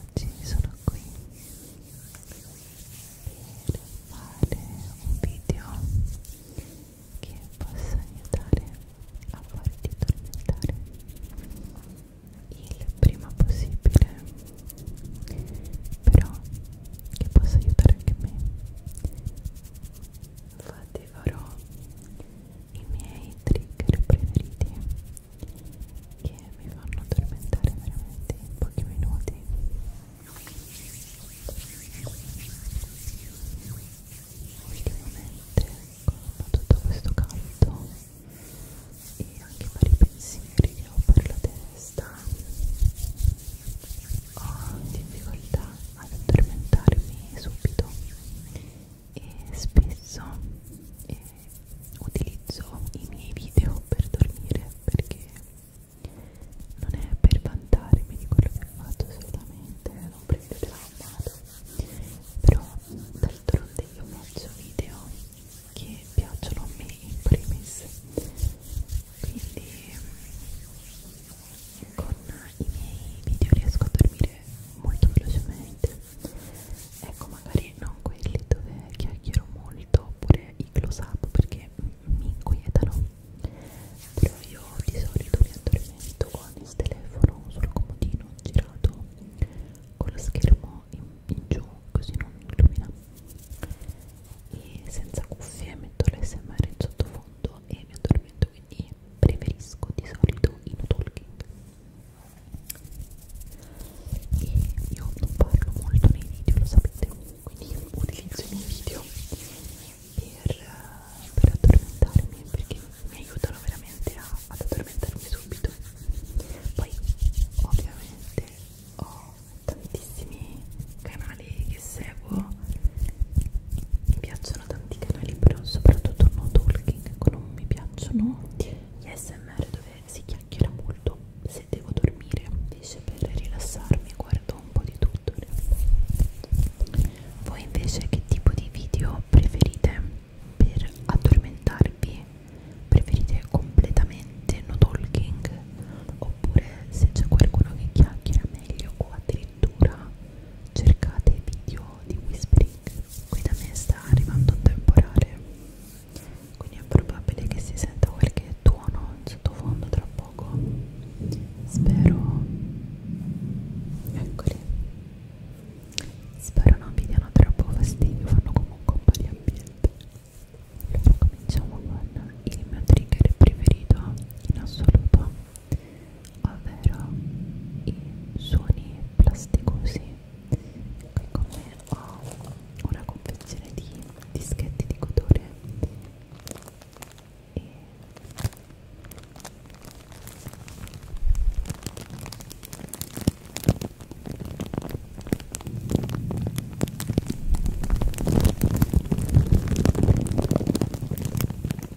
Oggi sono qui per fare un video che possa aiutare a farti tormentare il prima possibile però che possa aiutare anche me infatti farò i miei trigger preferiti che mi fanno addormentare veramente in pochi minuti ultimamente con tutto questo caldo e anche i vari pensieri che ho per la testa ho difficoltà ad addormentarmi subito e spesso eh, utilizzo i miei video per dormire perché non è per vantarmi di quello che faccio assolutamente, non prendetela a mano però d'altronde io faccio video che piacciono a me in primis quindi con i miei video riesco a dormire anche eh, molto velocemente ecco magari non quelli dove chiacchiero molto oppure i close up perché mi inquietano però io di solito mi addormento con il telefono sul comodino girato con lo schermo in, in giù così non mi illumina e senza cuffie metto l'SMR in sottofondo e mi addormento quindi preferisco di solito in talking e io non parlo molto nei video, lo sapete, quindi io utilizzo i miei video per, per addormentarmi perché mi aiutano veramente a, ad addormentarmi subito. Poi ovviamente ho tantissimi canali che seguo mi piacciono sono tanti canali però soprattutto no talking non mi piacciono gli smr dove si chiacchiera molto se devo dormire invece per rilassarmi guardo un po' di tutto voi invece che tipo di video preferite per addormentarvi preferite completamente no talking oppure se c'è qualcuno che chiacchiera meglio o addirittura cercate video di whispering qui da me sta arrivando un temporale quindi è probabile che si senta qualche tuono in sottofondo tra poco spero eccoli spero non vi diano troppo fastidio fanno comunque un po' di ambiente allora cominciamo con il mio trigger preferito in assoluto ovvero i suoni plasticosi qui con me ho una confezione di dischetti di cotone e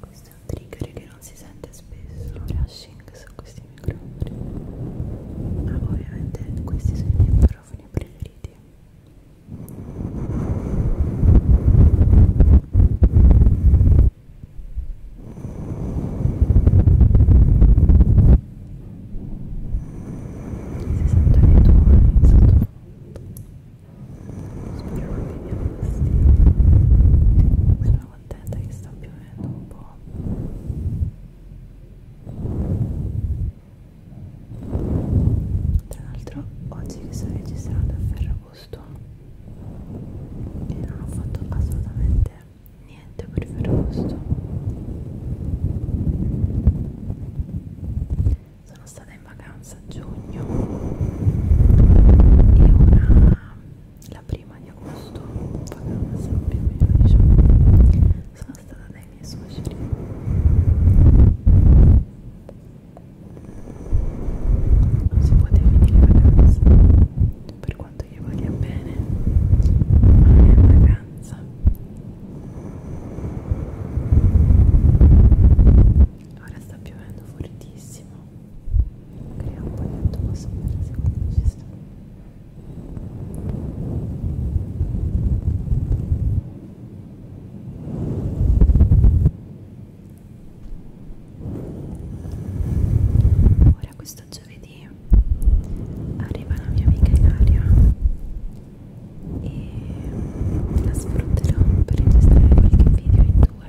questo è un trigger che non si sente spesso il brushing su questi microfoni ma ovviamente questi sono i miei microfoni preferiti si sentono i tuoni sottofondo speriamo di piovere sono contenta che sta piovendo un po' tra l'altro oggi che sto registrando è Ferragosto e non ho fatto assolutamente niente per Ferragosto sono stata in vacanza a giugno e una la prima di agosto vacanza più o meno diciamo sono stata dai miei suoceri non si può definire vacanza per quanto io voglia bene ma è vacanza ora sta piovendo fortissimo crea un po' di atmosfera secondo me ci sta ora questo giovedì arriva la mia amica Ilaria e la sfrutterò per registrare qualche video in due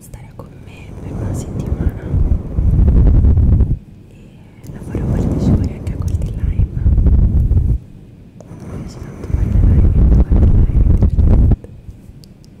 stare con me per una settimana e lavoro partecipatori anche a Colti Live mi piace tanto fare le live, fare le live divertente Ciao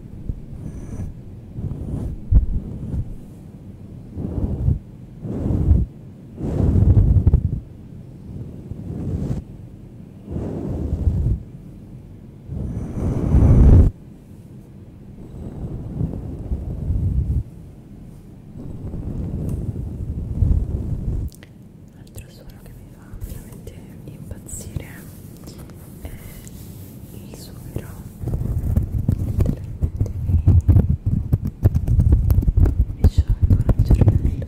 Un altro suono che mi fa veramente impazzire è eh, il sughero mi sciolgo il cervello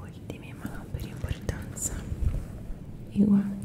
ultimi ma non per importanza i guanti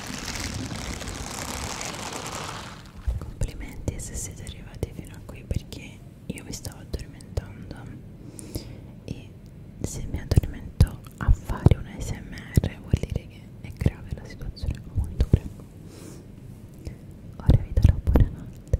Complimenti se siete arrivati fino a qui perché io mi stavo addormentando e se mi addormento a fare un ASMR vuol dire che è grave la situazione, molto prego. Ora vi darò buonanotte.